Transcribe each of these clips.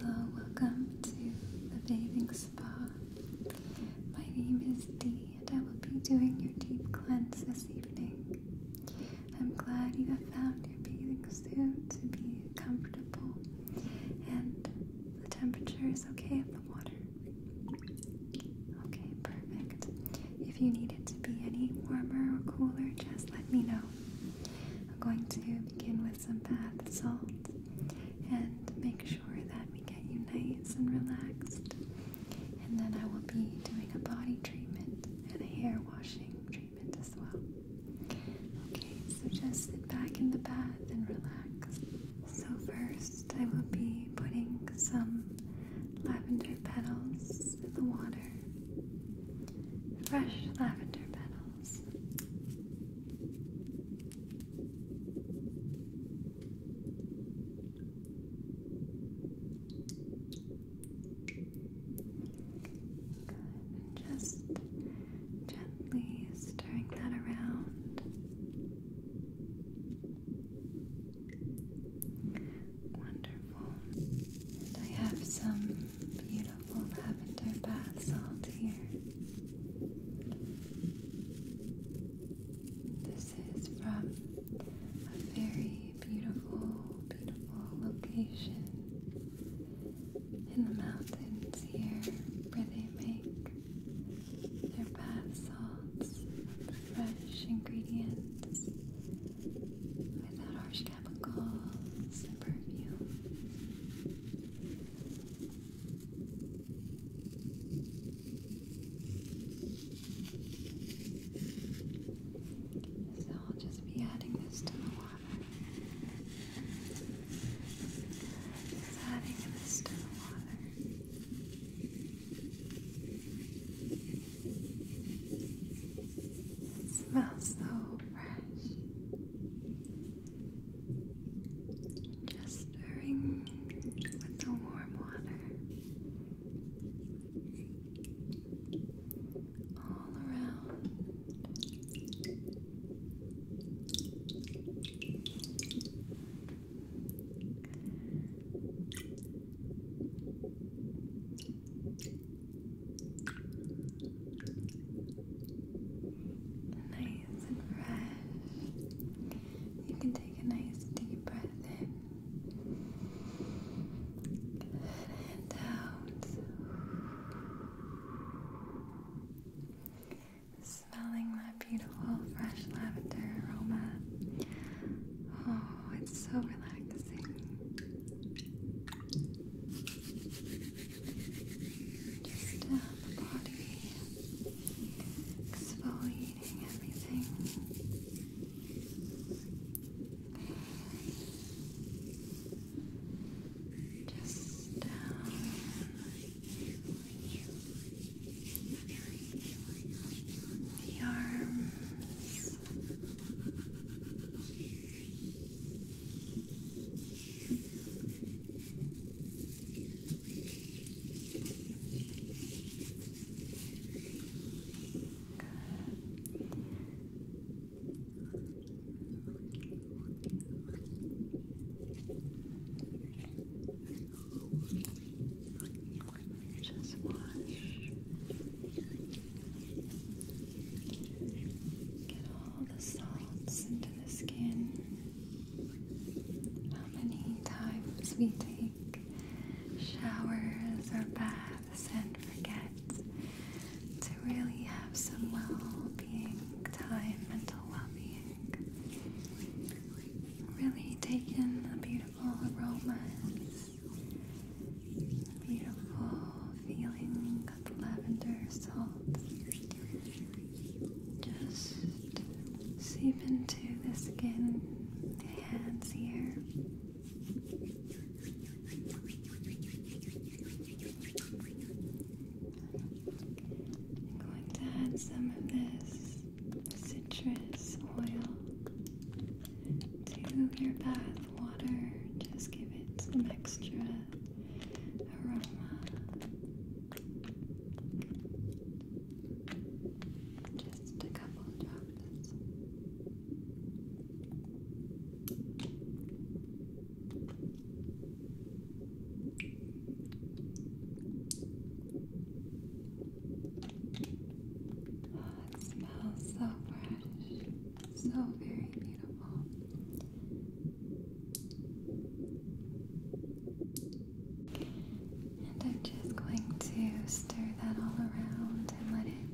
Hello, welcome to the bathing spa. My name is Dee, and I will be doing your deep cleanse this evening. I'm glad you have found your bathing suit to be comfortable, and the temperature is okay of the water. Okay, perfect. If you need it to be any warmer or cooler, just let me know. I'm going to begin with some bath salt and make sure that we get you nice and relaxed. And then I will be doing a body treatment and a hair washing Okay, so just sit back in the bath and relax. So, first, I will be putting some lavender petals in the water. Fresh lavender petals. And just gently stirring that around. Wonderful. And I have some beautiful lavender bath salt here. This is from a very beautiful, beautiful location in the mountains here where they make their bath salts with fresh ingredients without harsh chemicals and perfumes. So I'll just be adding this to the water adding this to the water. smells so fresh. Just stirring with the warm water all around. Nice and fresh. You can take a nice deep breath in and out. Smelling that beautiful fresh lavender aroma. Oh, it's so relaxing. Just uh, the body, exfoliating everything just down the arms. Good. Just wash. Get all the salts into the skin. How many times we take showers or baths and forget to really have some well-being time, mental well-being. Really take in the beautiful aromas, the beautiful feeling of the lavender salt. Just seep into the skin, the hands here. I'm going to add some of this citrus oil to your bath water. Just give it some extra aroma. Just a couple of drops. Oh, it smells so fresh, so very beautiful. And I'm just going to stir that all around and let it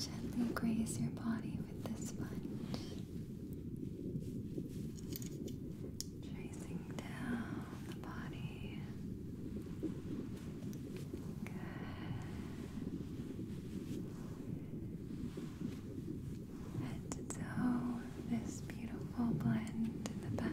gently graze your body at this sponge. Tracing down the body. Good. to toe, this beautiful blend in the bath.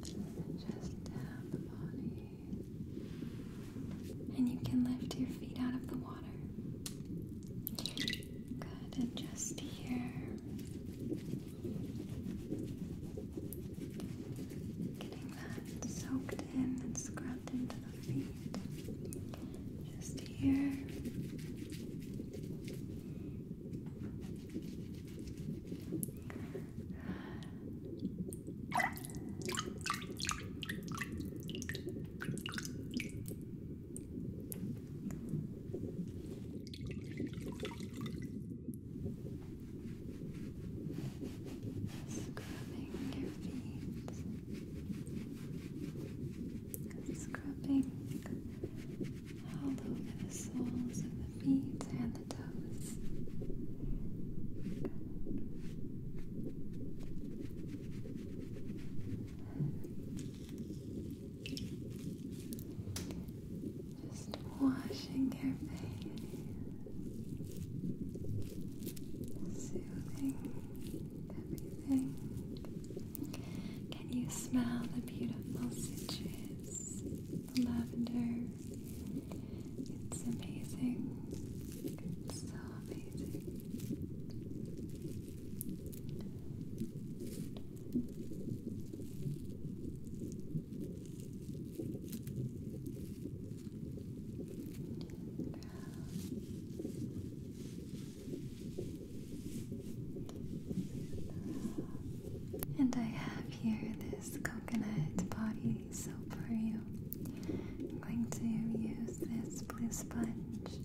Just down the body. And you can lift your feet out of the water. Good, and just here. Getting that soaked in and scrubbed into the feet just here. Scrubbing your feet, scrubbing all over the soles of the feet and the toes. Just washing your face, soothing everything. Can you smell the beautiful scents? the lavender? It's amazing. so amazing. And I have here this coconut body soap for you. I'm going to use this blue sponge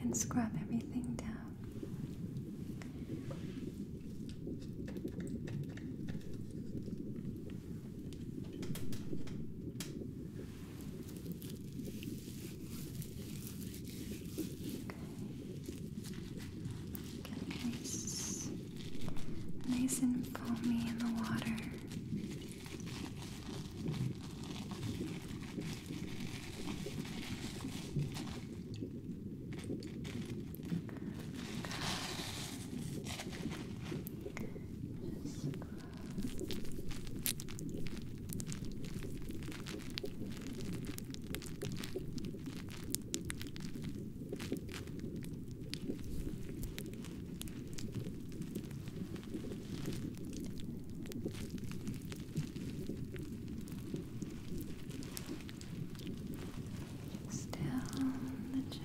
and scrub everything down. Get nice, nice and foamy in the water. Good. Just down the chest.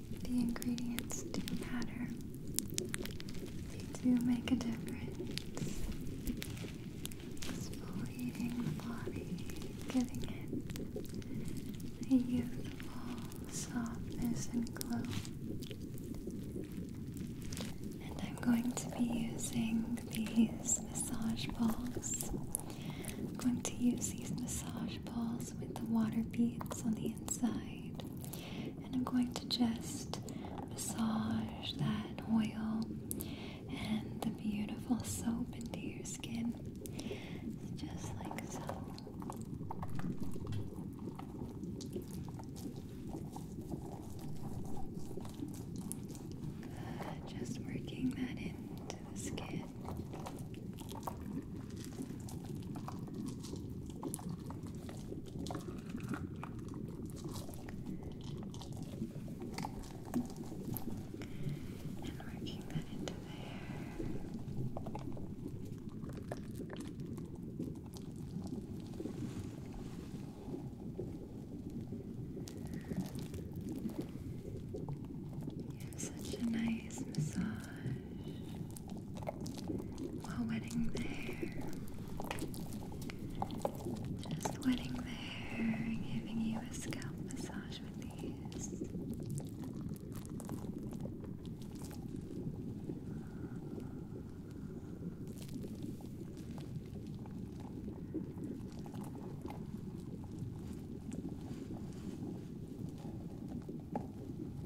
The ingredients do matter. They do make a difference. Exfoliating the body, giving it a youthful softness and glow. And I'm going to be using these massage balls. I'm going to use these massage balls with the water beads on the inside and I'm going to just massage that oil and the beautiful soap into your skin. Just like so. Just working that into the skin. And working that into there. You have such a nice massage. A wedding there. Just a wedding there, giving you a scalp massage with these.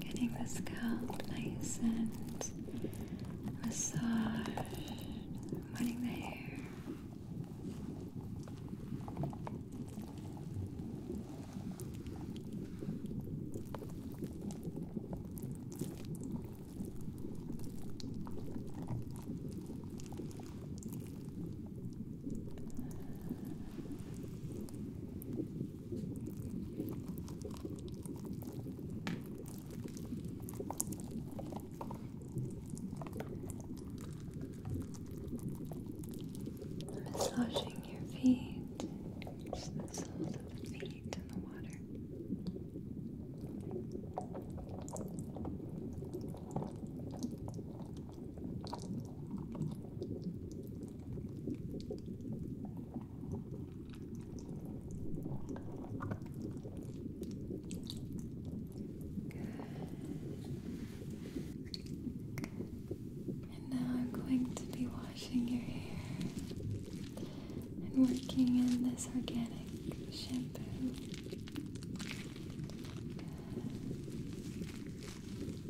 Getting the scalp nice and massaged, wetting the hair. Massaging your feet, the soles of the feet in the water. And now I'm going to be washing your hair and working in this organic shampoo.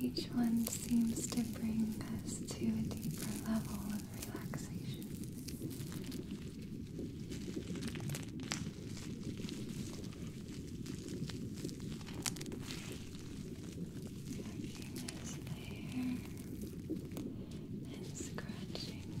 Each one seems to bring us to a deeper level of relaxation. Working as hair and scratching.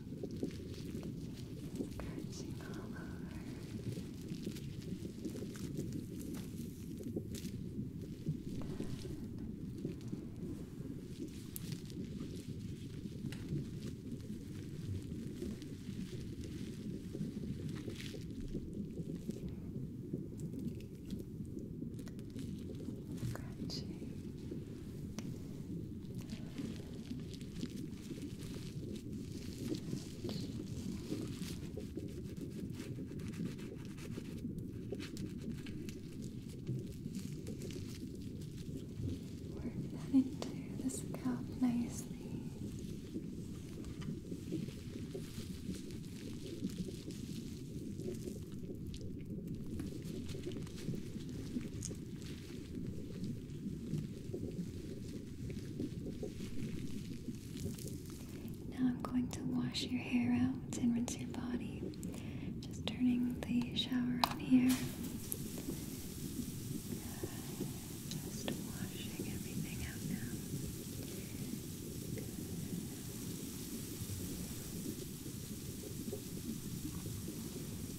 Dispersing all over. Good. Scratching. Good. Work that into the scalp nicely. Now I'm going to wash your hair out and rinse your body. Just turning the shower on here. Just washing everything out now.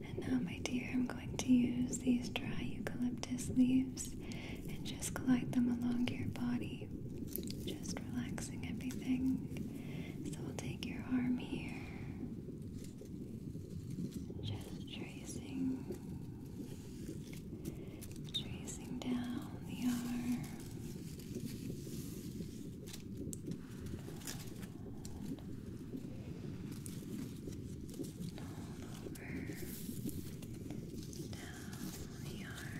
And now, my dear, I'm going to use these dry eucalyptus leaves and just glide them along your body, just relaxing everything. So, we'll take your arm here, just tracing tracing down the arm. All over down the arm.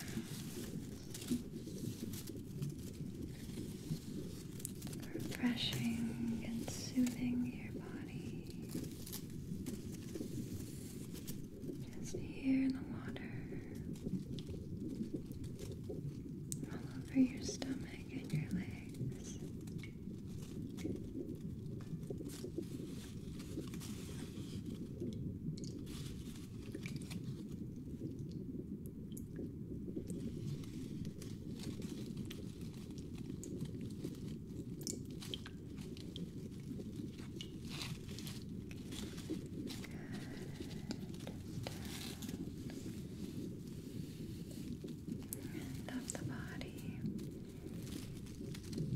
Refreshing and soothing your body. Just here in the water, all over your stomach and your legs. End of the body. Good.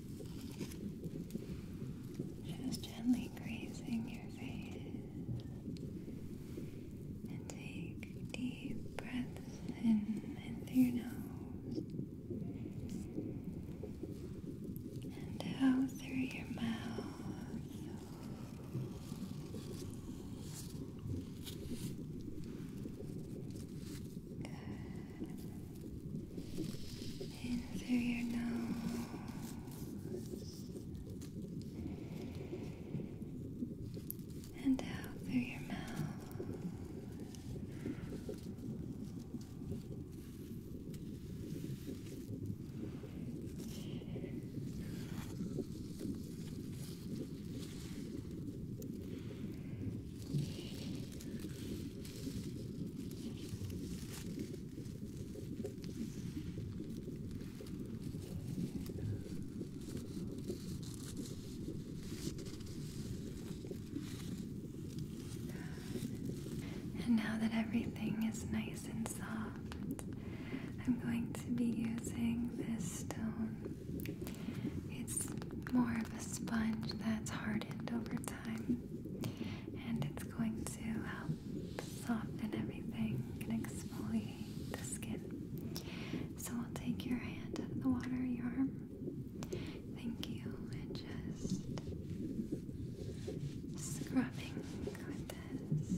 Just gently grazing your face and take deep breaths in and through your nose and out through your mouth. Good in through your nose and out through your mouth. And now that everything is nice and soft, I'm going to be using this stone. It's more of a sponge that's hardened over time and it's going to help soften everything and exfoliate the skin. So I'll take your hand out of the water, your arm. Thank you, and just scrubbing with this.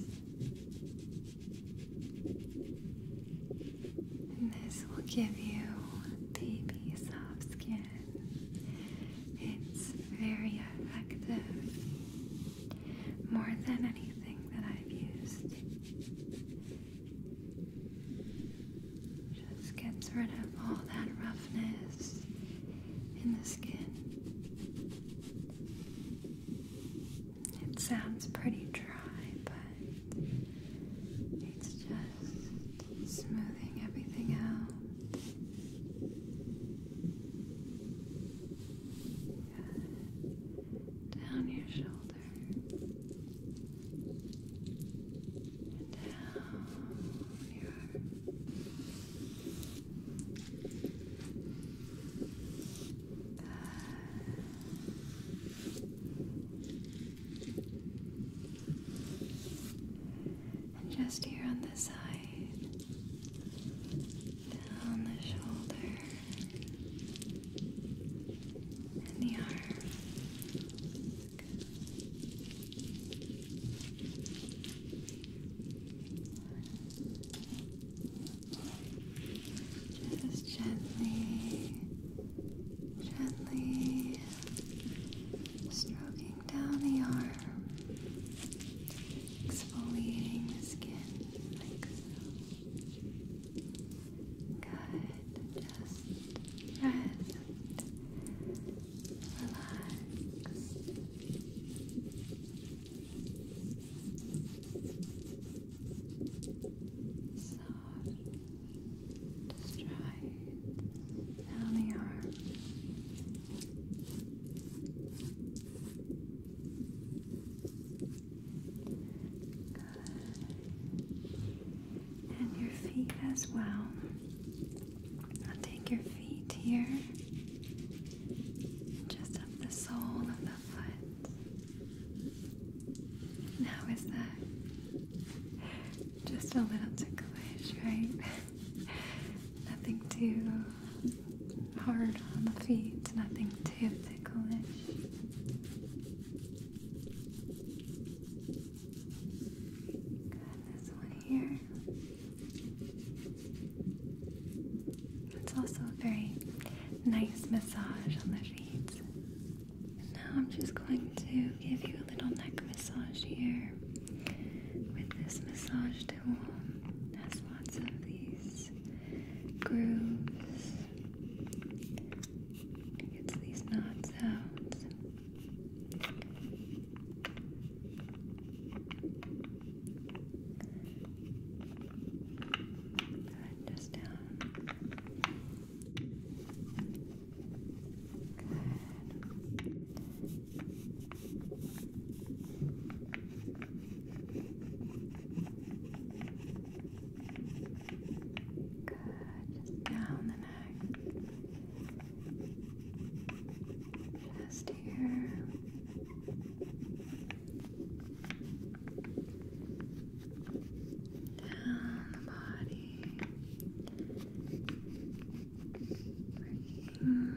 And this will give you baby soft skin. It's very effective. More than anything that I've used. Just gets rid of all that roughness in the skin. It sounds pretty dry, but it's just smoothing everything out down your shoulder and down your arm. And just here on the side, down the shoulder, and the arm. Just gently, gently stroking down the arm, exfoliating the skin like so. Good. Just rest. Relax. Soft. Just try down the arm. And your feet as well. I'll take your feet here, just up the sole of the foot. Now is that just a little ticklish, right? Nothing too hard on the feet, nothing too ticklish. Got this one here. It's also a very nice massage on the feet. And now I'm just going to give you a little neck massage here with this massage tool. has lots of these grooves. gets these knots out. Good, just down. Good. Good. Just down the neck. Just here. Down the body. Mm,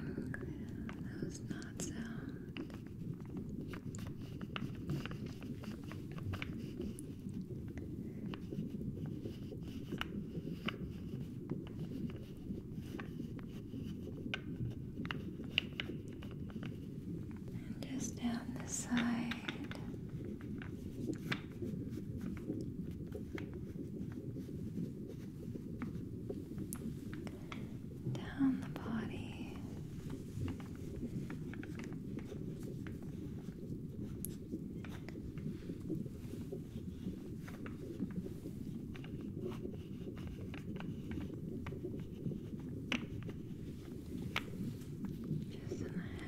that was not sound. just down the side down the body. Just in the head.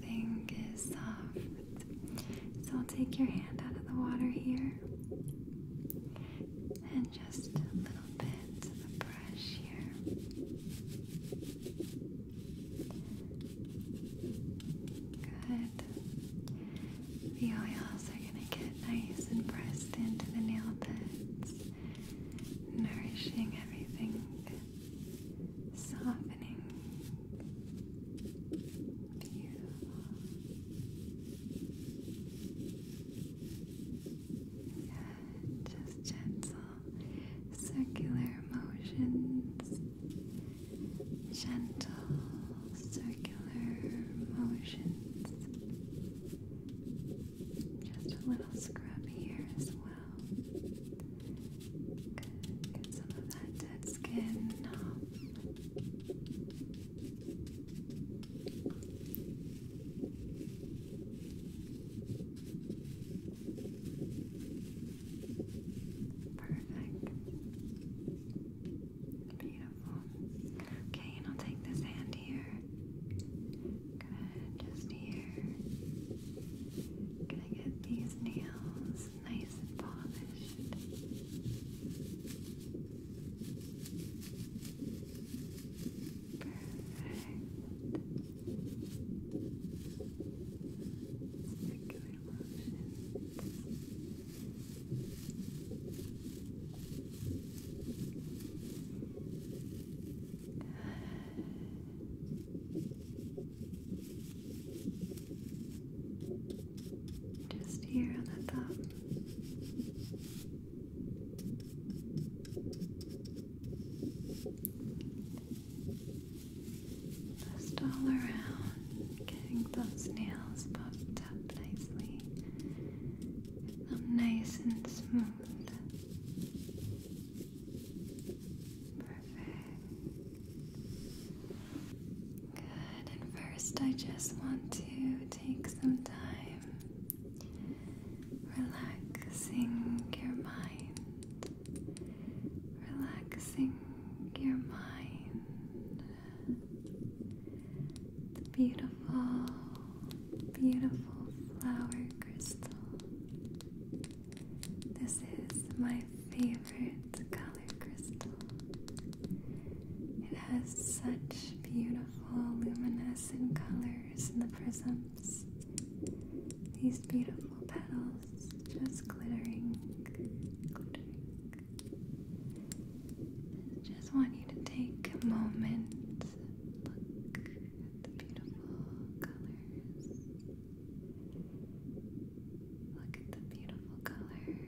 everything is soft. So I'll take your hand out of the water here and just a little bit of the brush here. Good. The oils are going to get nice and pressed into the nail beds, nourishing everything softening. Beautiful. Just gentle circular motions. Gentle circular motions. Just a little scrub here as well. Good. Get some of that dead skin off. Perfect. Beautiful. Okay, and I'll take this hand here. Good, just here. Good going get these nails nice and polished. Perfect. Circular motions. Just here on the top. Just all around, getting those nails puffed up nicely. them nice and smooth. Perfect. Good. And first, I just want to take some time relaxing your mind, relaxing your mind. The beautiful, beautiful flower crystal. This is my favorite color crystal. It has such beautiful luminescent colors in the prisms. These beautiful petals just glittering, just want you to take a moment, look at the beautiful colors. Look at the beautiful colors. Good.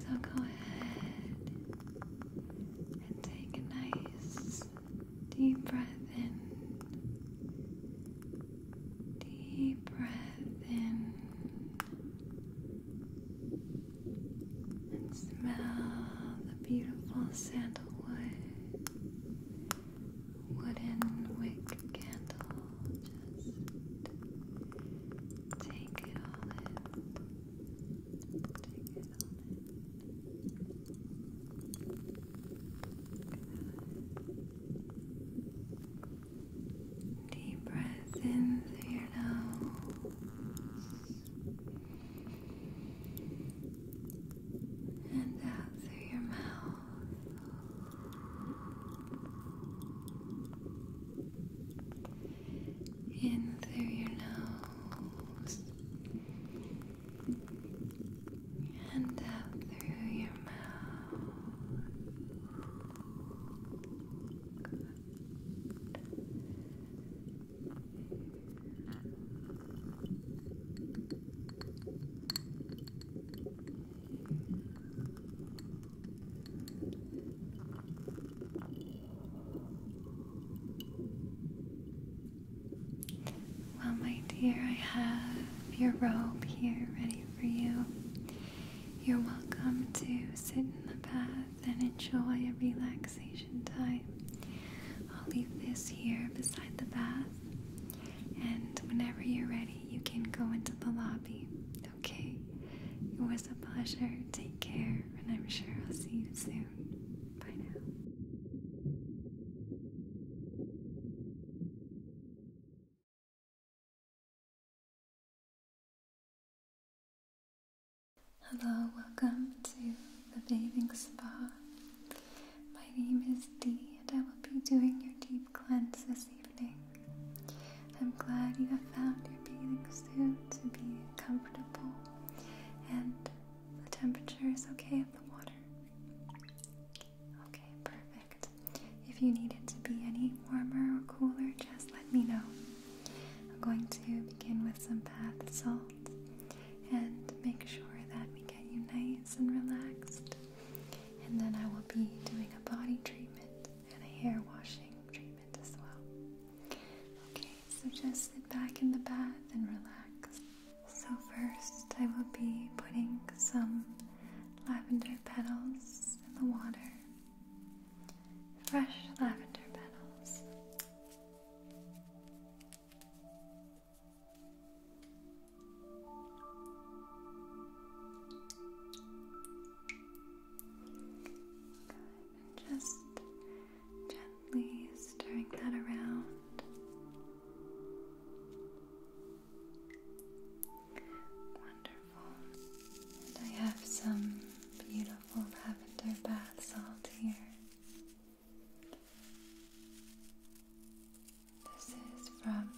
So go ahead and take a nice deep breath in. Deep breath in. And smell the beautiful sandalwood wooden wick candle. Just take it all in. Deep breath in through your nose and out through your mouth in through your nose and out through your mouth. Well, my dear, I have your robe here ready for you. You're welcome to sit in the bath and enjoy a relaxation time. I'll leave this here beside the bath, and whenever you're ready, you can go into the lobby. Okay? It was a pleasure. Take care, and I'm sure I'll see you soon. Hello, welcome to the bathing spa. My name is Dee, and I will be doing your deep cleanse this evening. I'm glad you have found your bathing suit to be comfortable and the temperature is okay of the water? Okay, perfect. If you need it to be any warmer or cooler, just let me know. I'm going to begin with some bath salt and make sure that we get you nice and relaxed. And then I will be doing a body treatment and a hair washing treatment as well. Okay, so just sit back in the bath and relax. So, first, I will be putting some lavender petals in the water. Fresh lavender petals. just Gently stirring that around. Wonderful. And I have some beautiful lavender baths salt here. This is from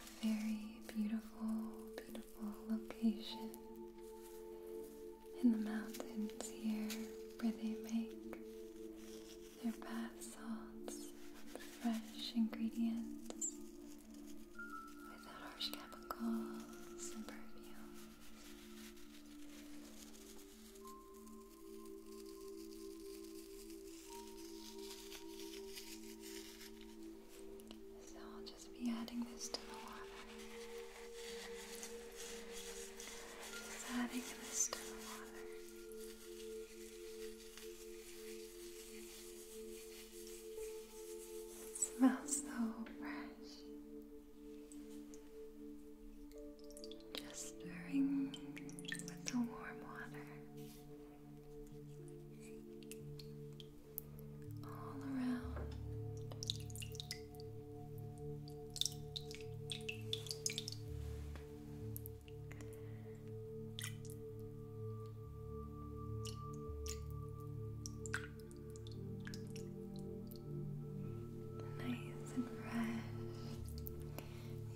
a very beautiful, beautiful location in the mountains here where they make their bath salts with fresh ingredients without harsh chemicals and perfumes. So I'll just be adding this to the water adding a mist water. It smells so fresh. Just stirring with the warm water all around. Nice and fresh.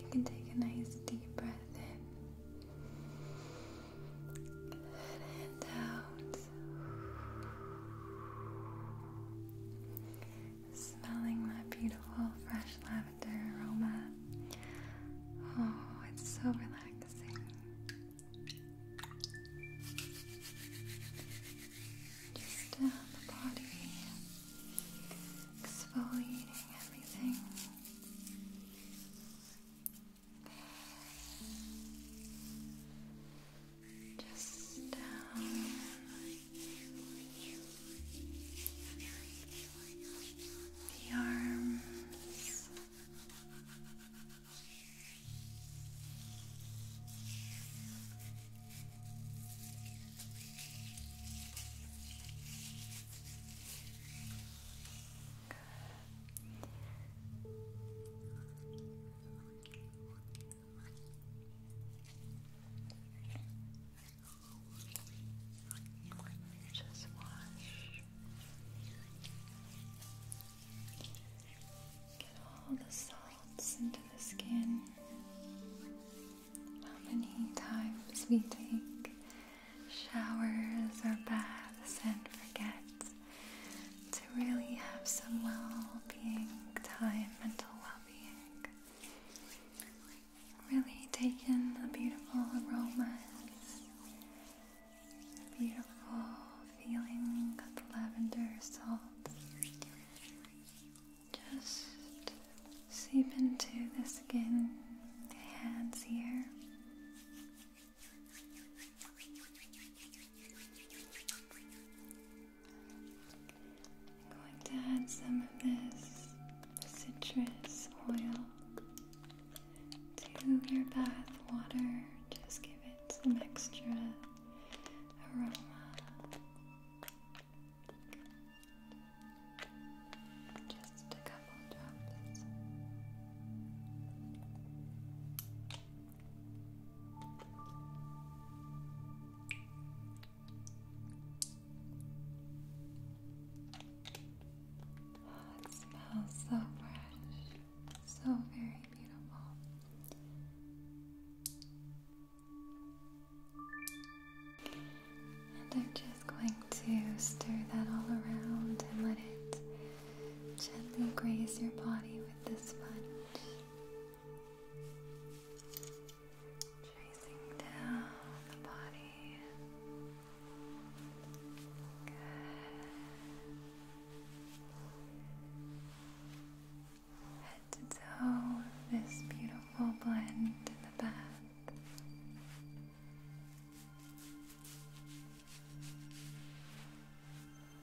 You can take a nice deep breath in and out. Smelling that beautiful fresh lavender aroma. Oh, it's so relaxing. Uh, exfoliating everything just down. The arms, just wash. Get all the salts into the skin. How many times we take showers or baths and forget to really have some well-being time, mental well-being. Really take in the beautiful aromas, the beautiful feeling of the lavender salt. Just seep into the skin, the hands here. I'm going to add some of this citrus oil to your bath water. Just give it some extra aroma. Just a couple drops it smells so fresh, so very beautiful. And I'm just going to stir that all around and let it gently graze your body with the sponge. Tracing down the body. Good. Head to toe, this beautiful blend in the bath. Good.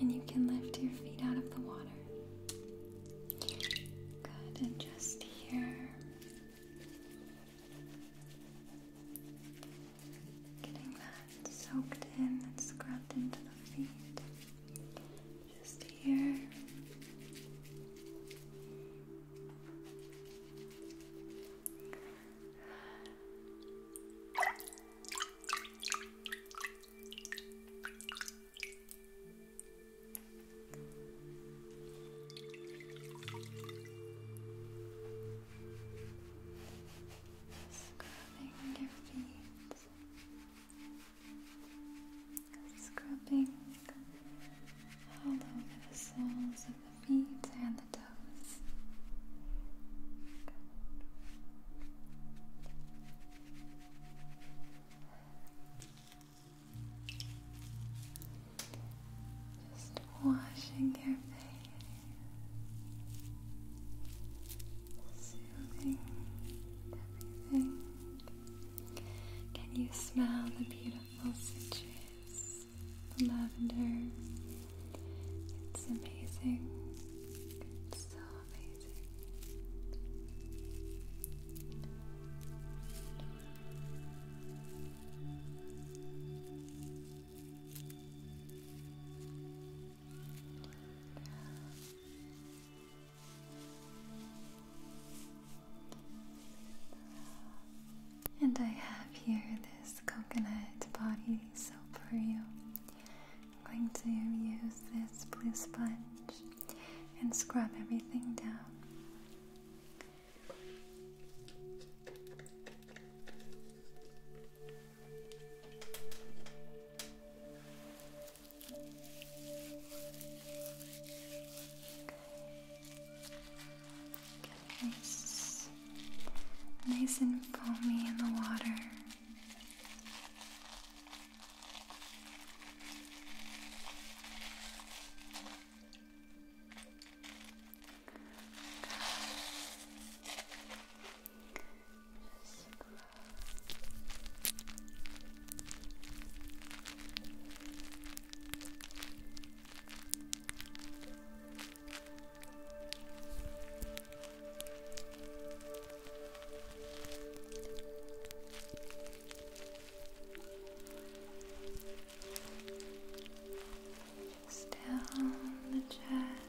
And you can lift your feet out of the water. Good, and just here. Getting that soaked in and scrubbed into the feet. Just here. Scrubbing your feet, scrubbing all over the soles of the feet and the toes. Just washing your face, soothing everything. Can you smell the beautiful the lavender. It's amazing. so amazing. And I have here this coconut body soap for you. I'm going to use this blue sponge and scrub everything down. Get nice, nice and foamy in the water. Good. Just down the chest.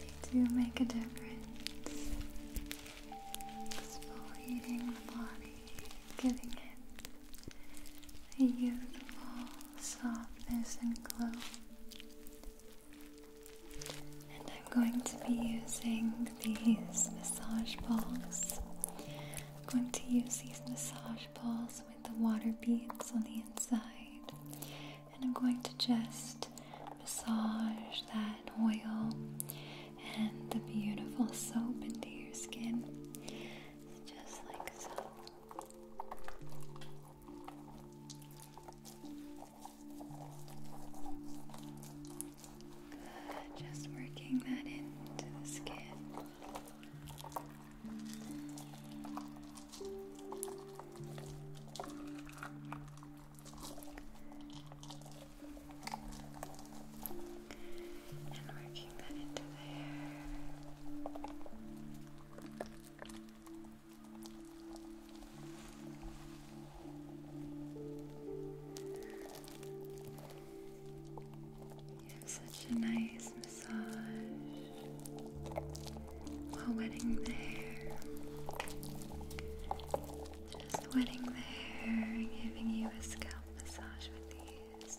They do make a difference. Exfoliating the body, giving it a youthful softness and glow. And I'm going to be using these massage balls. I'm going to use these massage balls with the water beads on the inside and I'm going to just massage that oil and the beautiful soap into your skin just like so. just working that into the skin. And working that into there. You have such a nice massage. A wedding there. Just wedding there, giving you a scalp massage with these.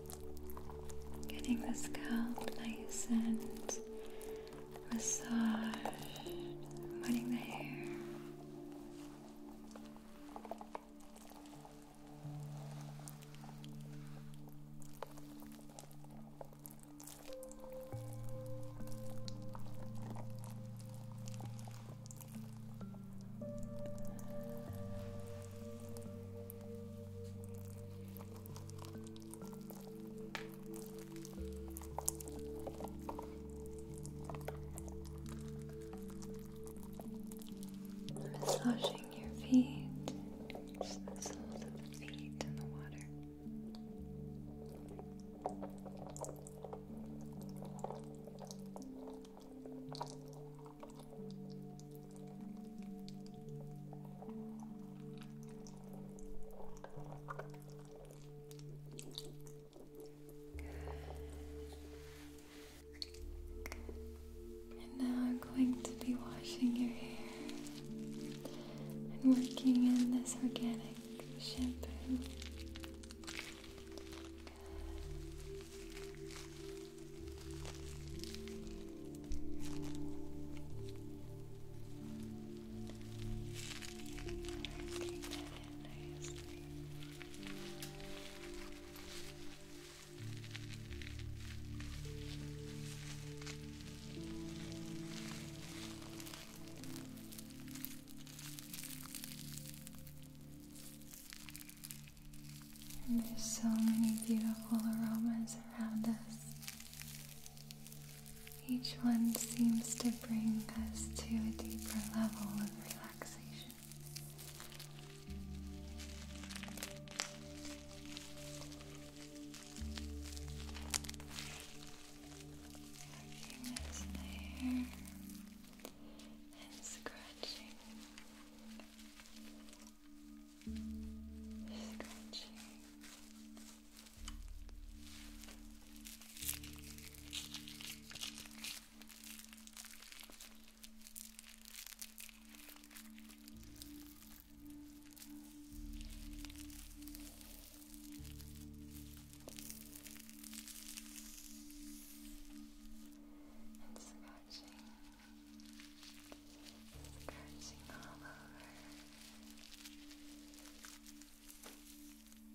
Getting the scalp nice and massaged, wetting the hair. Massaging your feet, just the soles of the feet in the water. And now I'm going to be washing your hair and working in this organic shampoo there's so many beautiful aromas around us. Each one seems to bring us to a deeper level of relaxation. Working this and scratching. Stretching. And scratching. Dancing all over.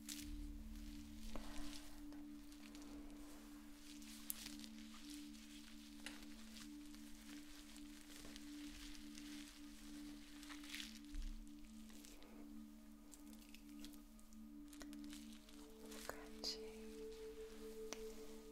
Scratching Work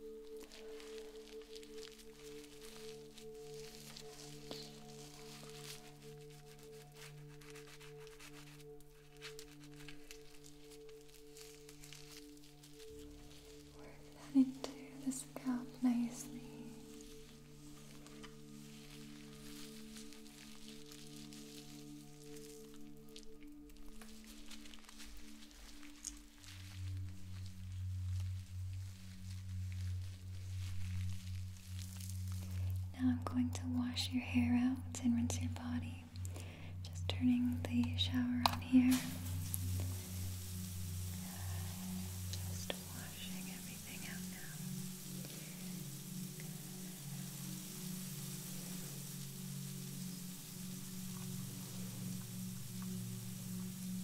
that into the scalp nicely. Now I'm going to wash your hair out and rinse your body. Just turning the shower on here. Just washing everything out now.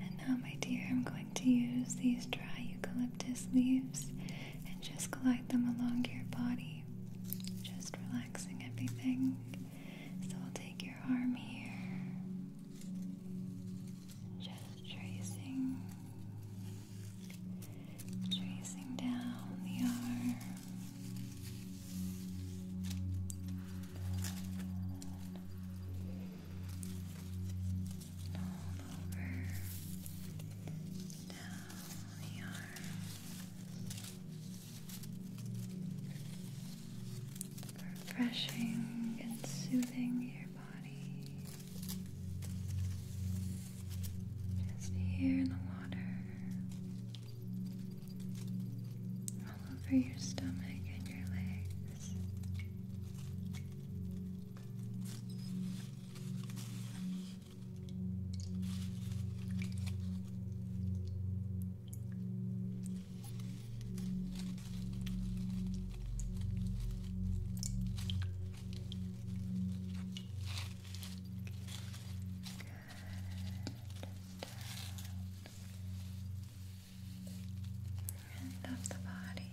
And now, my dear, I'm going to use these dry eucalyptus leaves and just glide them along your body, just relaxing everything. So, I'll take your arm here, just tracing tracing down the arm. All over down the arm, refreshing and soothing your body. Just here in the water, all over your stomach and your legs. Good. Down. End of the body.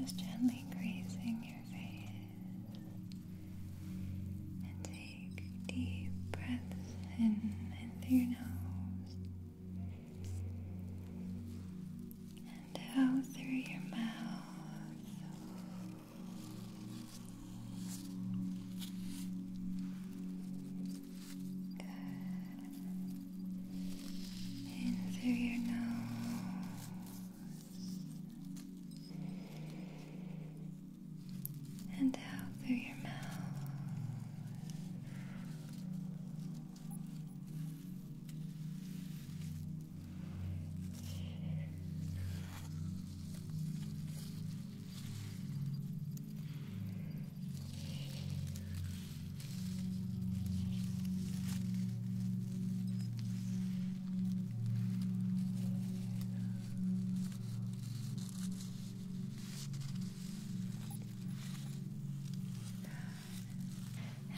Just gently grazing your face and take deep breaths in and through your nose and out through your mouth. Good. In through your nose and out through your mouth.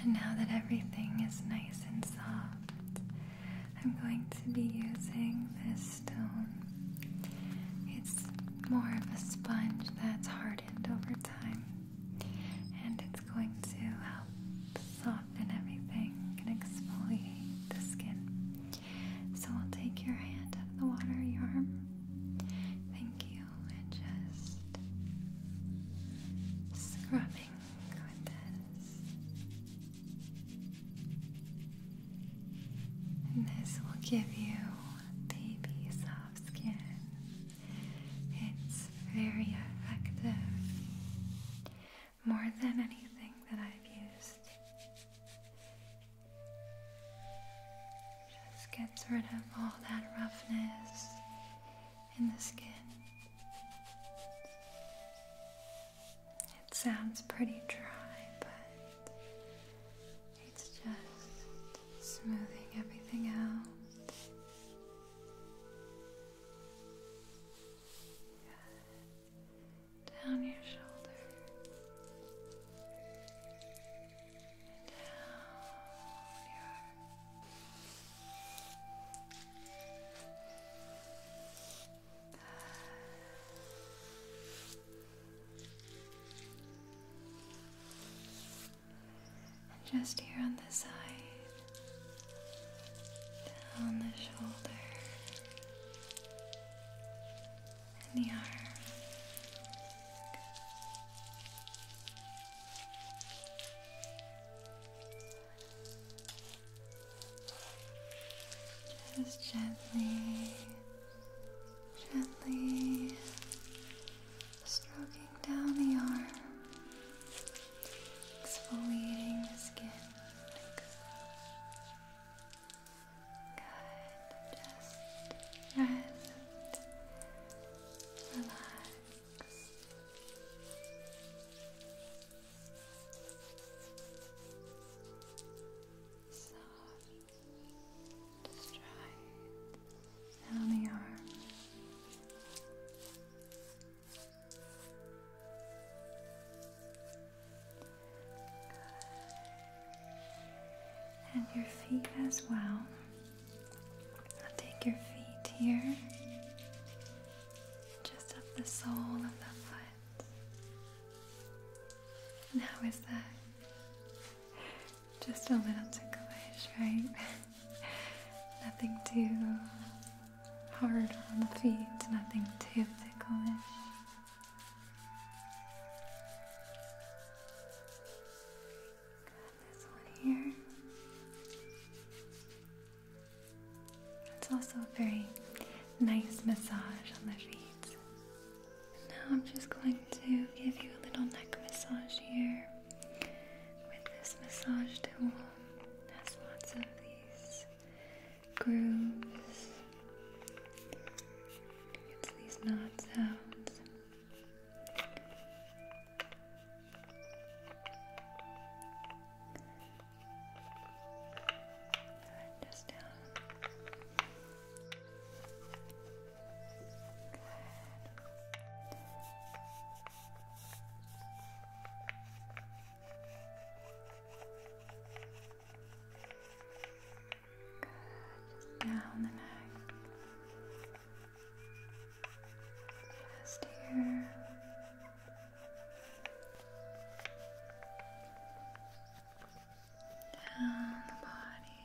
And now that everything is nice and soft, I'm going to be using this stone. It's more of a sponge that's hardened over time and it's going to help soften everything and exfoliate the skin. So I'll take your hand out of the water, your arm. Thank you, and just scrubbing with this. this will give you baby soft skin. It's very effective, more than anything that I've used. Just gets rid of all that roughness in the skin. It sounds pretty dry, but it's just smoothing everything out. Down your shoulder. down your just here on the side, down the shoulder, and the arm. Just gently, gently stroking down the arm exfoliating the skin. Good. Just rest, relax. Soft, just try the arm, and your feet as well. I'll take your feet here, just up the sole of the foot. And how is that? Just a little ticklish, right? Nothing too hard on the feet, nothing too ticklish. Got this one here. It's also a very nice massage on the feet. And now I'm just going to give you a little neck massage here with this massage tool. has lots of these grooves. It's these knot sounds. just down. Good. Down the neck. Just here. Down the body.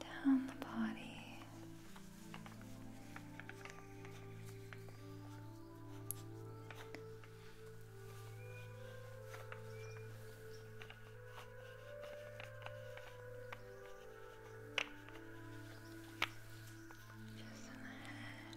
down the body. Just in the head.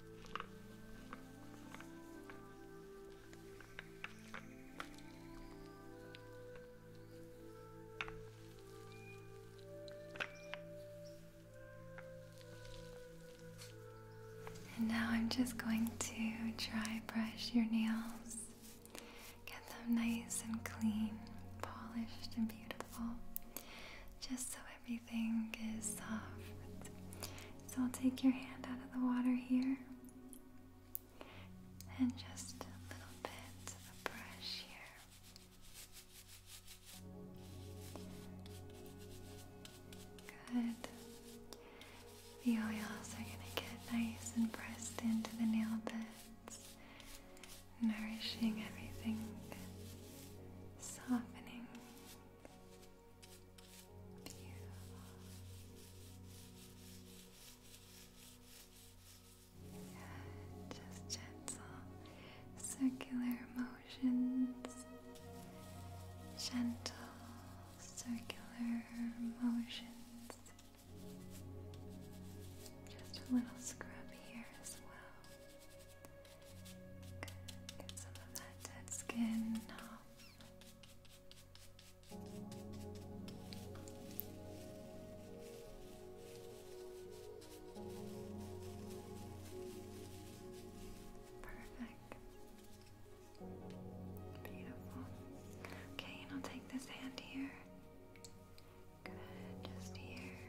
And now I'm just going to dry brush your nails, get them nice and clean, polished, and beautiful, just so everything everything is soft. So I'll take your hand out of the water here and just a little bit of a brush here. Good. The oils are going to get nice and pressed into the nail beds, nourishing everything, softening just gentle circular motions. Gentle circular motions. Just a little scrub here as well. Get some of that dead skin off. Perfect. Beautiful. Okay, and I'll take this hand here. Good, just here.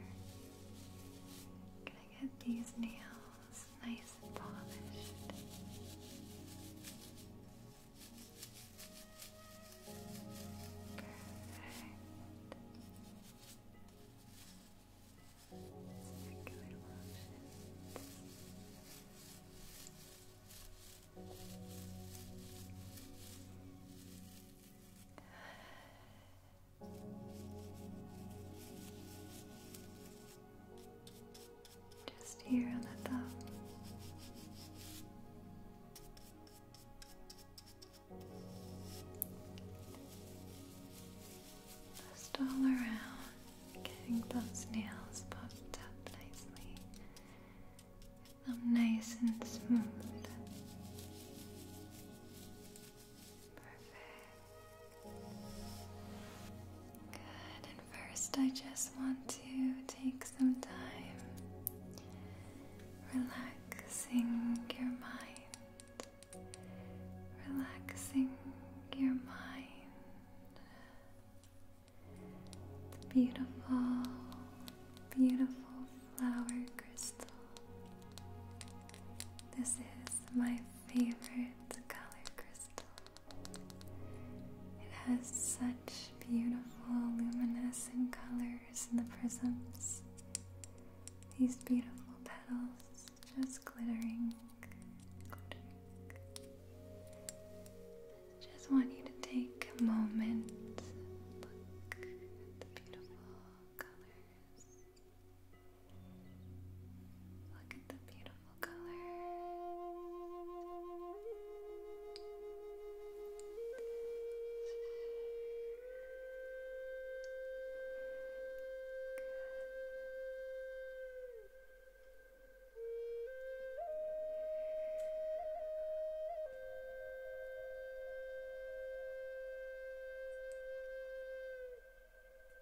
Gonna get these nails nice and polished. Perfect. Circular motions. Just here on the thumb. Just all around, getting those nails popped up nicely. them nice and smooth. Perfect. Good, and first I just want to take some time relaxing your mind, relaxing your mind. beautiful, beautiful flower crystal. This is my favorite color crystal. It has such beautiful luminescent colors in the prisms. These beautiful petals just glittering. glittering. Just want you to take a moment, look at the beautiful colors. Look at the beautiful color. Good.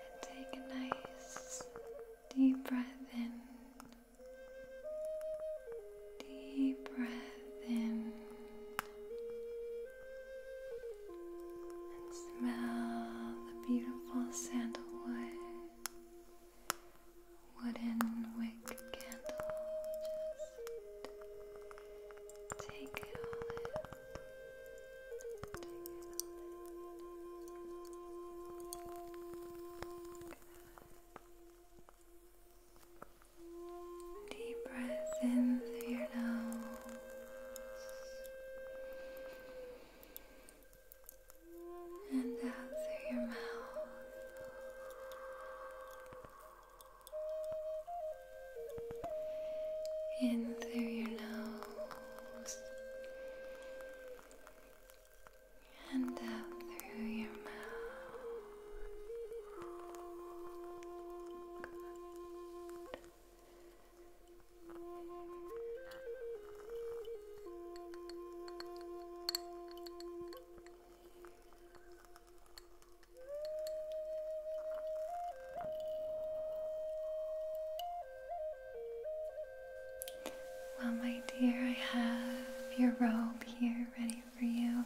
and take a nice deep breath in. Deep breath in and smell the beautiful sandalwood wooden wick candle. Just take it all in. Deep breath in through your nose. And out through your mouth. In through your nose and out through your mouth. Well, my dear, I have your robe here ready for you.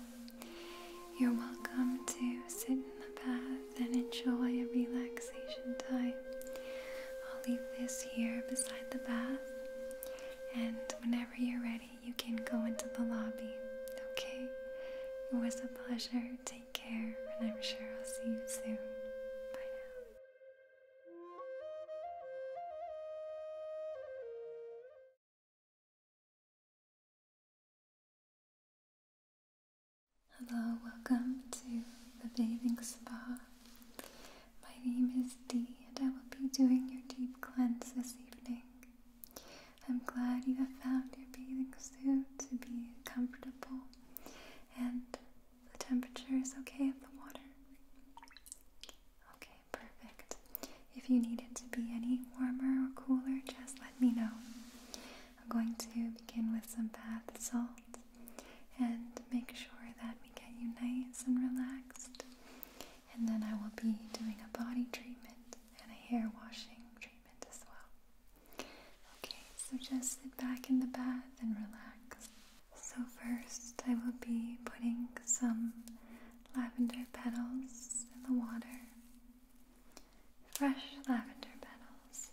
You're welcome to sit in the bath and enjoy a relaxation time. I'll leave this here beside the bath, and whenever you're ready, you can go into the lobby, okay? It was a pleasure. Take care, and I'm sure I'll see you soon. Bye now. Hello, welcome to the bathing spa. My name is Dee, and I will be doing your deep cleanse this evening. I'm glad you have found your bathing suit to be comfortable and the temperature is okay of the water? Okay, perfect. If you need it to be any warmer or cooler, just let me know. I'm going to begin with some bath salt and make sure that we get you nice and relaxed. And then I will be doing a body treatment and a hair washing treatment as well. Okay, so just sit back in the bath and relax. So, first, I will be putting some lavender petals in the water. Fresh lavender petals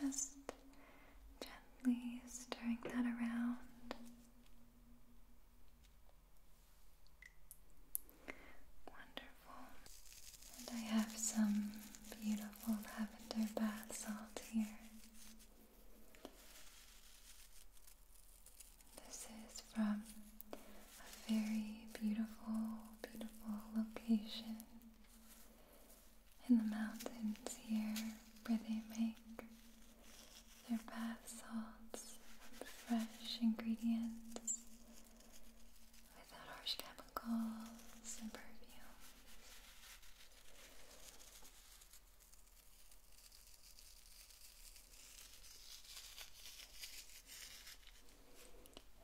just gently stirring that around. Wonderful. And I have some beautiful lavender bath salt here. This is from a very beautiful, beautiful location in the mountains here where they make their bath salts from fresh ingredients without harsh chemicals and perfumes.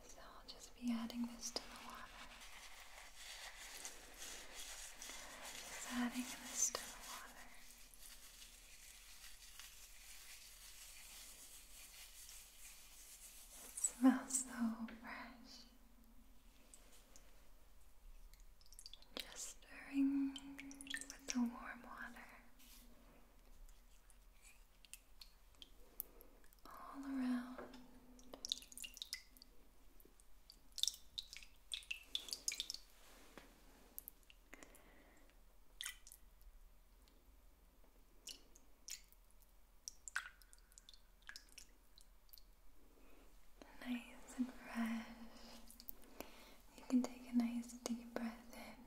So I'll just be adding this to the water. Just adding this to water. It smells so fresh. Just stirring with the warm water all around Nice and fresh. You can take a nice deep breath in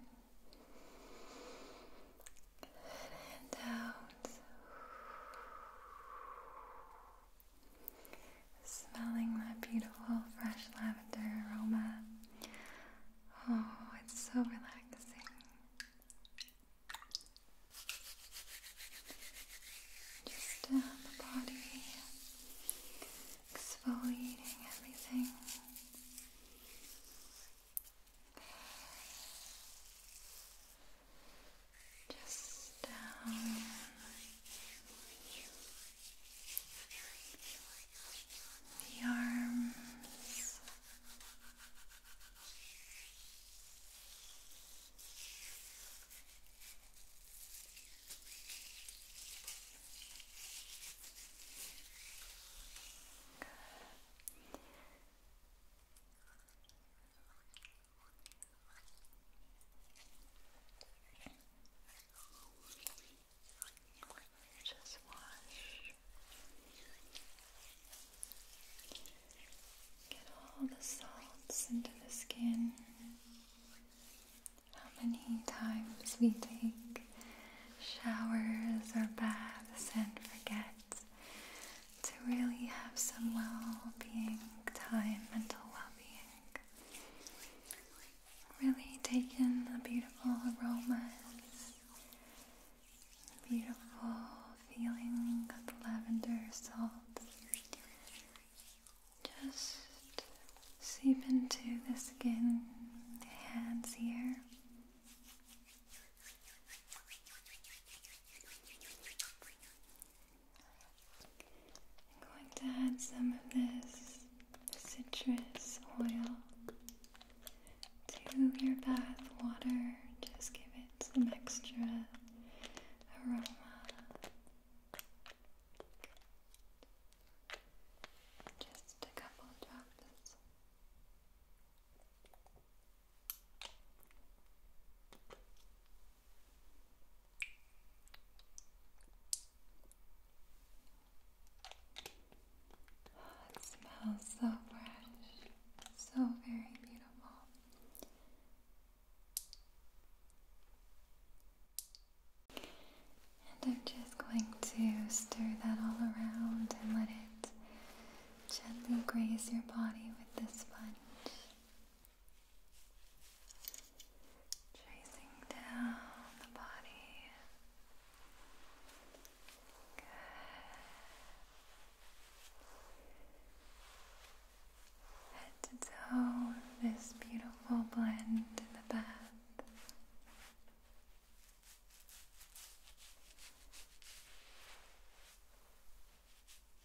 and out. Smelling that beautiful fresh lavender aroma. Oh, it's so relaxing. Just uh, the body, exfoliating everything just down the arms. Just wash. Get all the salts into the skin. How many times we take showers or baths and forget to really have some well being time, mental well being. Really take the beautiful aromas, the beautiful feeling of the lavender salt. Just seep into the skin, the hands here. I'm going to add some of this citrus oil to your bath water, just give it some extra aroma. Just a couple drops it smells so fresh, so very beautiful. And I'm just going to stir that all around and let it gently graze your body with the sponge. Tracing down the body. Good. Head this beautiful blend in the bath.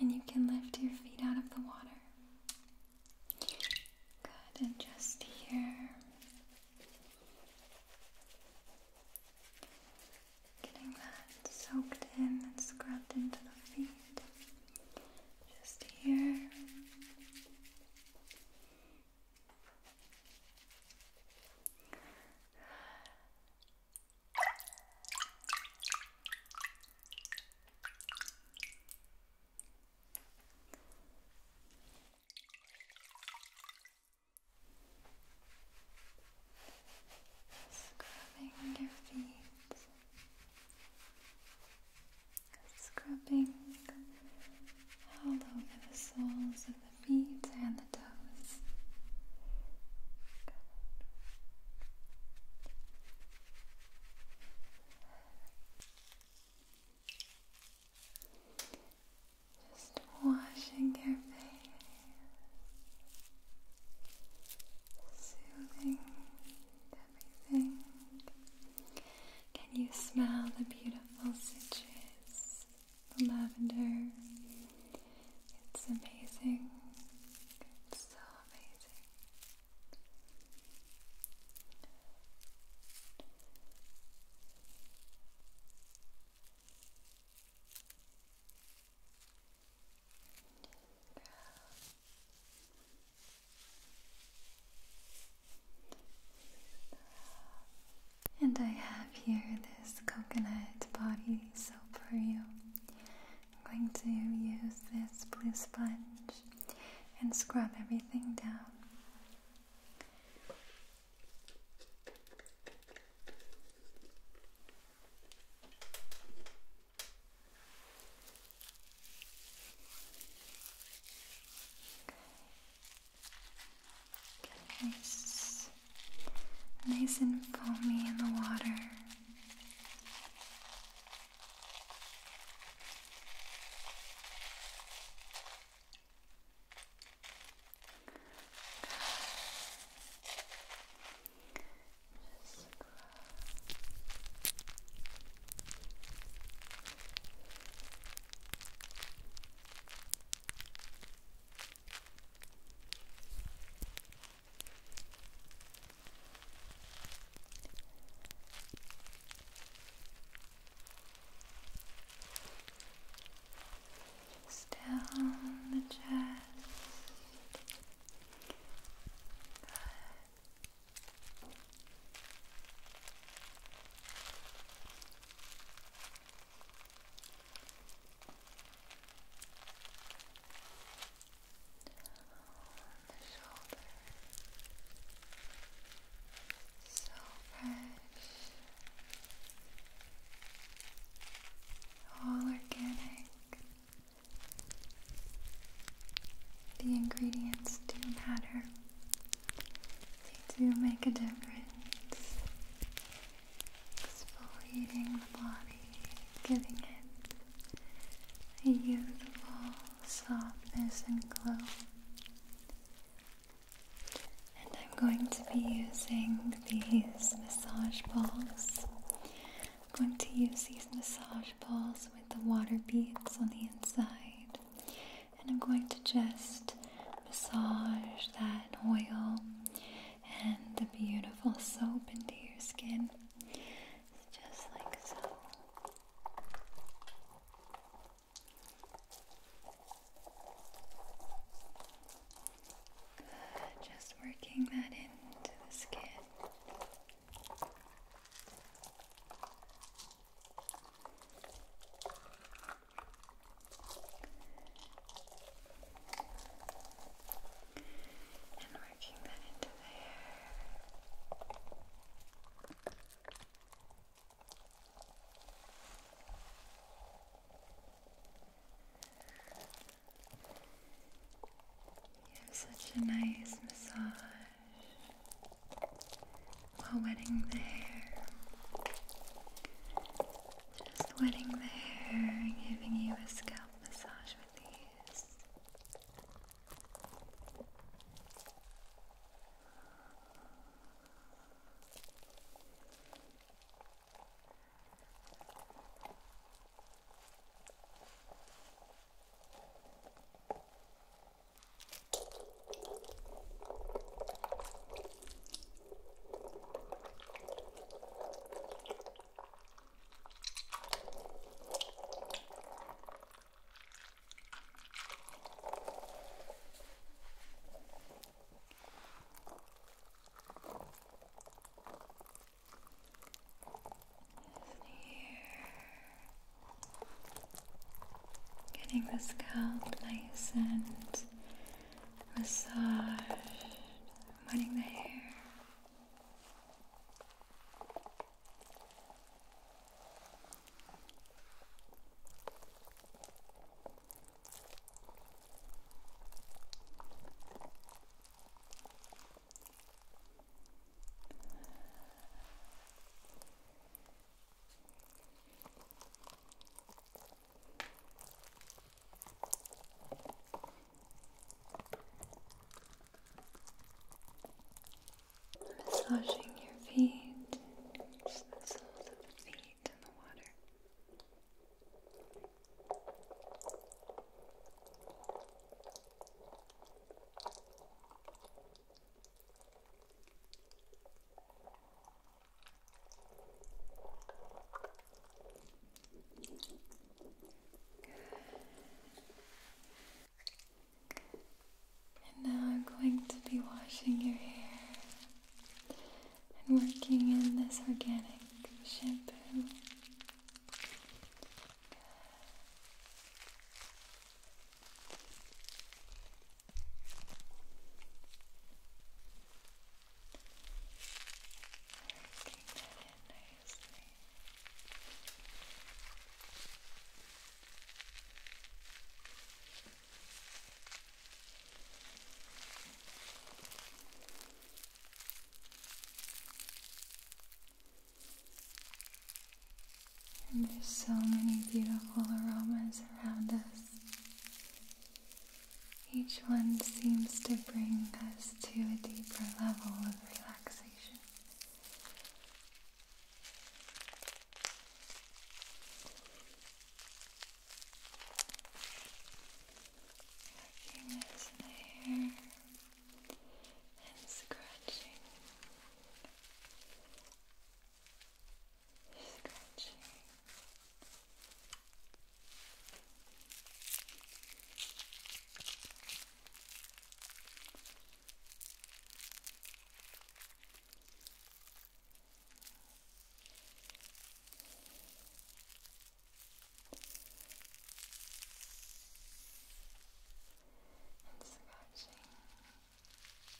And you can lift your feet out of the water. Good, and just here. Getting that soaked in and scrubbed into the feet. Just here. Scrubbing your feet, scrubbing all over the soles of the feet and the toes. Just washing your face, soothing everything. Can you smell the beautiful citrus the lavender. It's amazing. so amazing. Good. And I have here this coconut body soap for you. I'm going to use this blue sponge and scrub everything down. Nice, nice and foamy in the water. Just Good. Just down the chest. Good the shoulder. So fresh. All organic. The ingredients do matter. They do make a difference. Exfoliating the body, giving it a youthful softness and glow. And I'm going to be using these massage balls. I'm going to use these massage balls with the water beads on the inside and I'm going to just massage that oil and the beautiful soap into your skin just like so. just working that into the skin. And working that into the You have such a nice massage while wetting the hair. Just wetting the hair giving you a scalp massage with these. Getting the scalp nice and massage, wetting the hair. Massaging your feet, the soles of the feet in the water. And now I'm going to be washing your hair and working in this organic shampoo. And there's so many beautiful aromas around us. Each one seems to bring us to a deeper level of relaxation. Working as and scratching. Stretching. And scratching.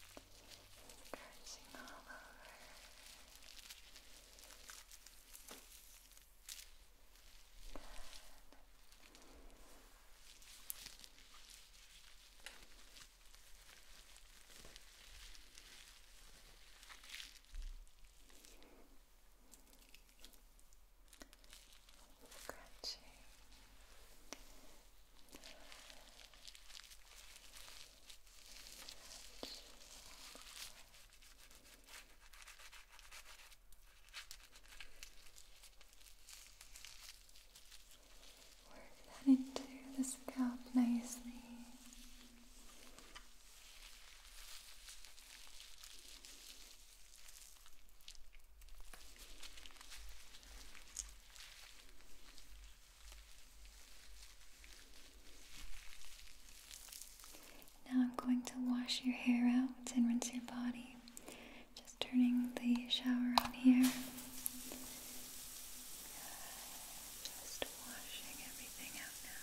Good. Stretching all over. Good. Scratching. Good. Work that into the scalp nicely. Now I'm going to wash your hair out and rinse your body. Just turning the shower on here. Just washing everything out now.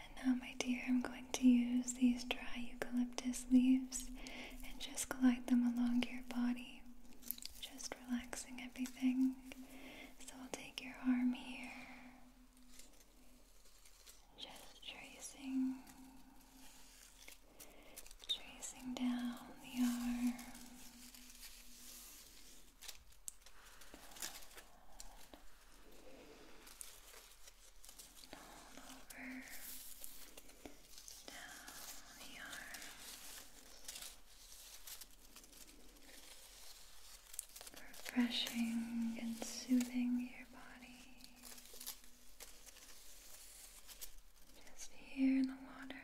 And now, my dear, I'm going to use these dry eucalyptus leaves and just glide them along your body, just relaxing everything. So, I'll take your arm here. Just tracing tracing down the arm. All over down the arm. Refreshing and soothing your body. Just here in the water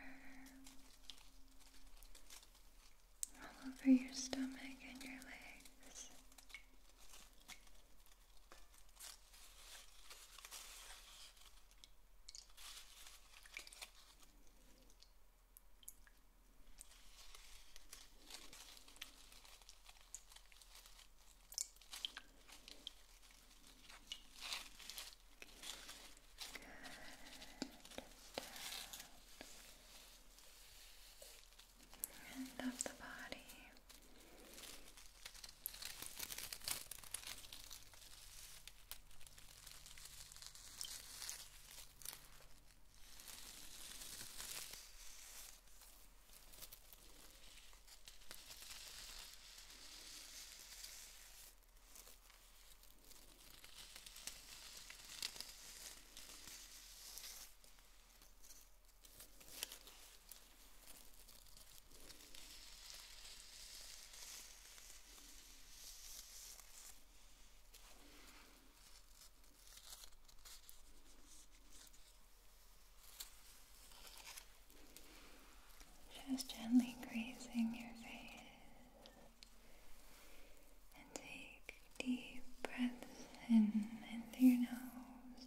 all over your stomach and your legs. Good. Down. End of the body. Good. Just gently grazing your face. And take deep breaths in through your nose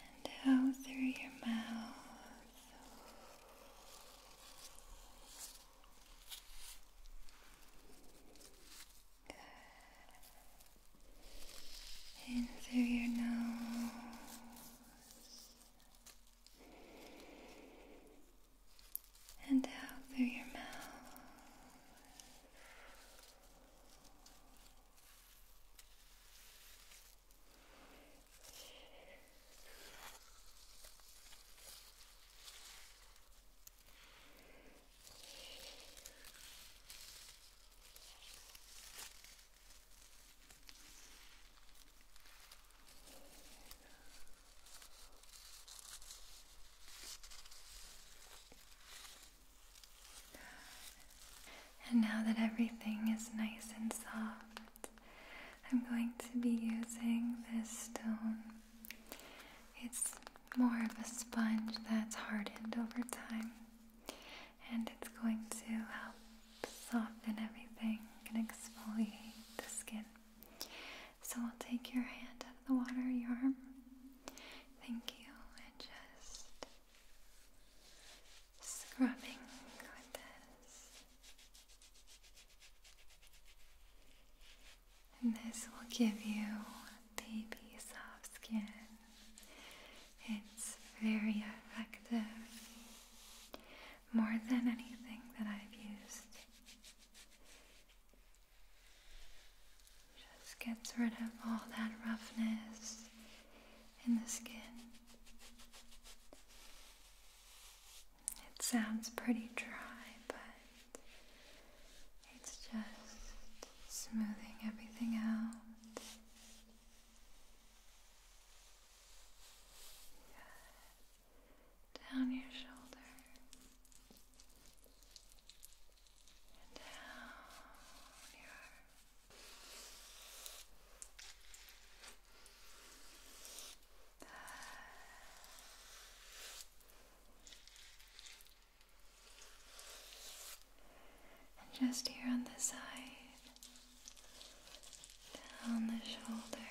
and out through your mouth. Good. In through your nose and out through your mouth. And now that everything is nice and soft, I'm going to be using this stone. It's more of a sponge that's hardened over time and it's going to help soften everything and exfoliate the skin. So I'll take your hand out of the water, your arm. Thank you, and just scrubbing with this. And this will give you a baby soft skin. It's very effective more than anything that I've used. Just gets rid of all that roughness in the skin. It sounds pretty dry, but it's just smoothing everything out. Down your shoulder. And down your arm. And just here on the side, down the shoulder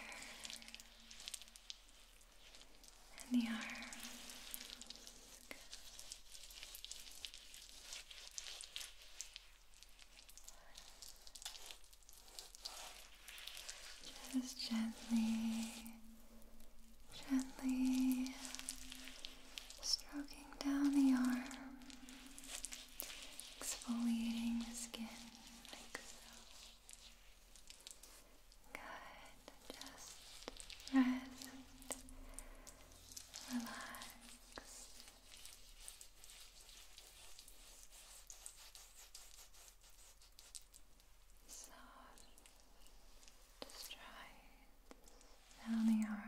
and the arm. Just gently, gently stroking down the arm exfoliating the skin like so. Good. Just rest, relax. Soft, strides down the arm.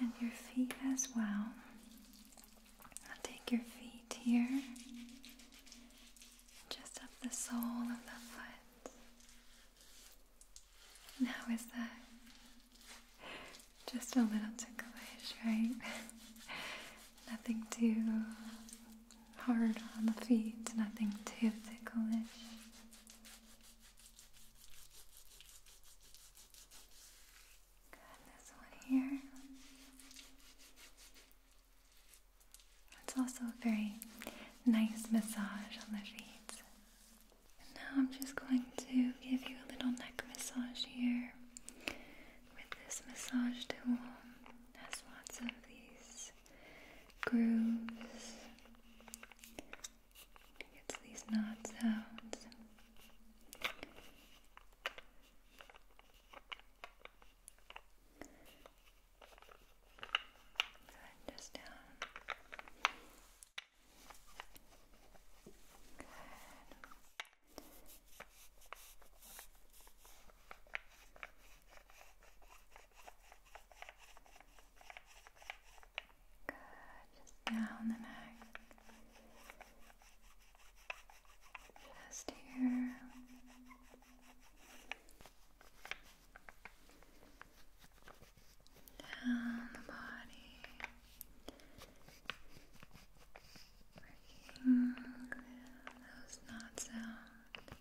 And your feet as well. I'll take your feet here, just up the sole of the foot. And how is that? Just a little ticklish, right? Nothing too hard on the feet, nothing too ticklish. Got this one here. It's also a very nice massage on the feet. And now I'm just going to give you a little neck massage here with this massage tool. It has lots of these grooves. It's these knot sounds. just down. Good, just down the neck. Just here. Down the body. Working those knots out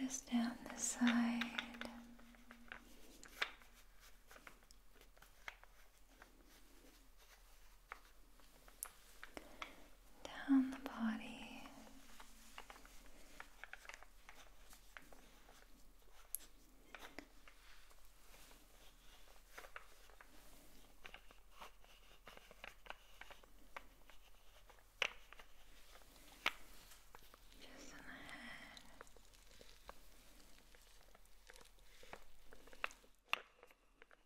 just down the side down the body. Just on the head.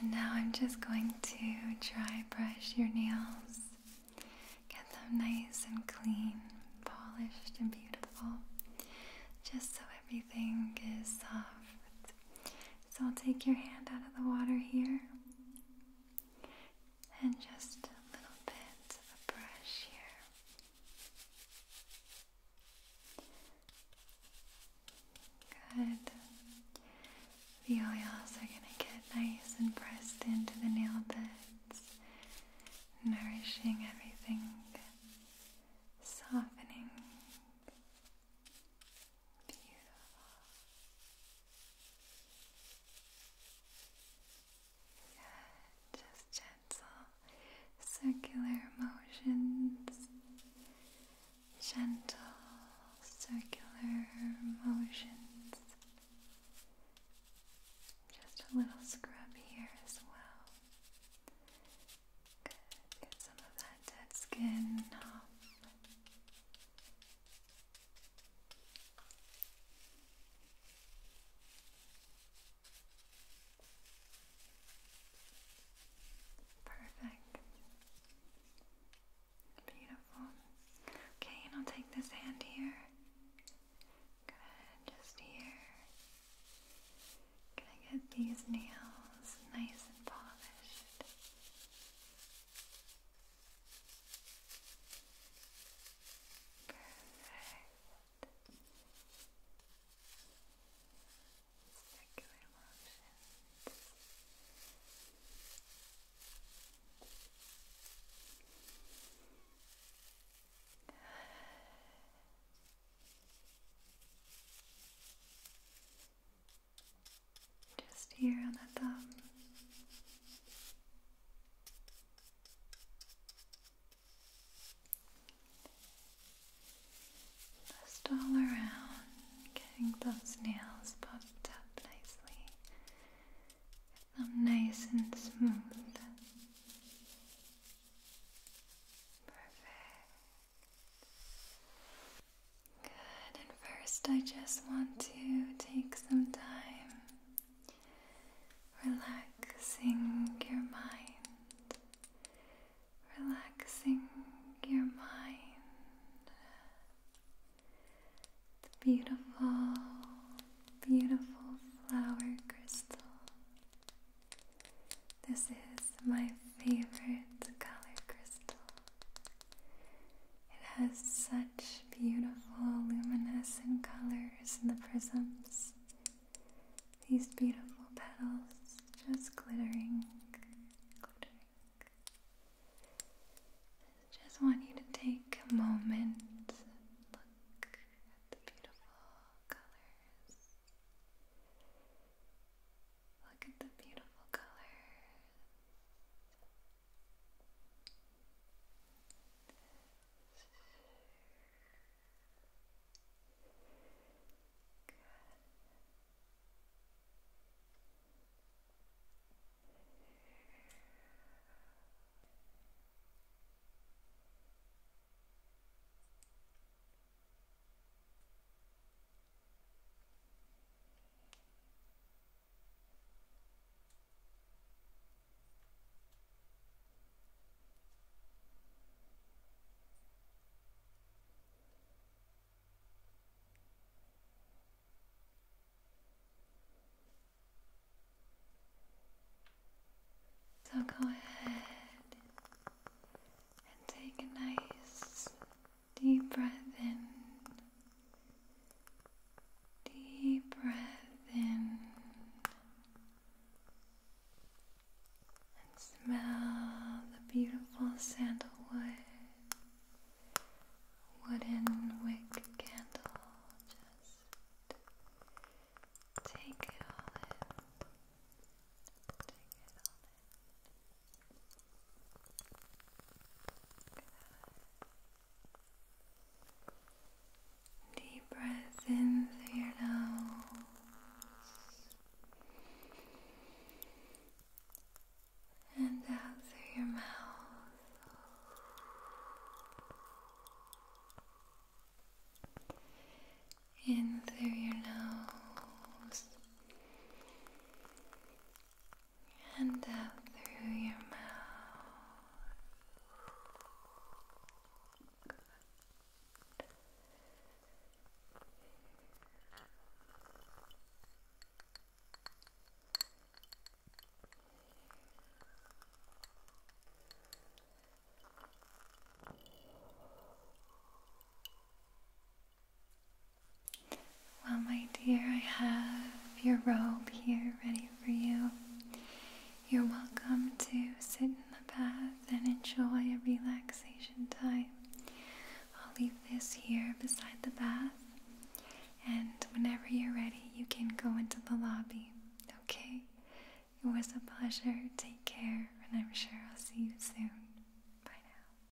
And now I'm just going to dry brush your nails, get them nice and clean, polished and beautiful, just so everything is soft so I'll take your hand out of the water here and just a little bit of a brush here. Good. The oils are going to get nice and pressed into the nail beds, nourishing everything, softening Beautiful. Just gentle circular motions. Gentle circular motions. Just a little scrub here as well. Get some of that dead skin Perfect. Beautiful. Okay, and I'll take this hand here. Good, just here. Gonna get these nails nice and polished. Perfect. Circular motions. Just here on the thumb. Just all around, getting those nails popped up nicely. them nice and smooth. Perfect. Good, and first I just want to take some time relaxing your mind, relaxing your mind. The beautiful, beautiful flower crystal. This is my favorite color crystal. It has such beautiful luminescent colors in the prisms. These beautiful petals just glittering, just want you to take a moment and look at the beautiful colors. Look at the beautiful colors. Good. Good. So go ahead and take a nice Deep breath in. Deep breath in. And smell the beautiful sandalwood wooden wick candle. Just take it all in. Take it all Deep breath in through your nose and out through your mouth. In through your nose and out through your mouth. Good. Good. Well, my dear, I have your robe here ready for you. You're welcome to sit in the bath and enjoy a relaxation time. I'll leave this here beside the bath, and whenever you're ready, you can go into the lobby, okay? It was a pleasure. Take care, and I'm sure I'll see you soon. Bye now.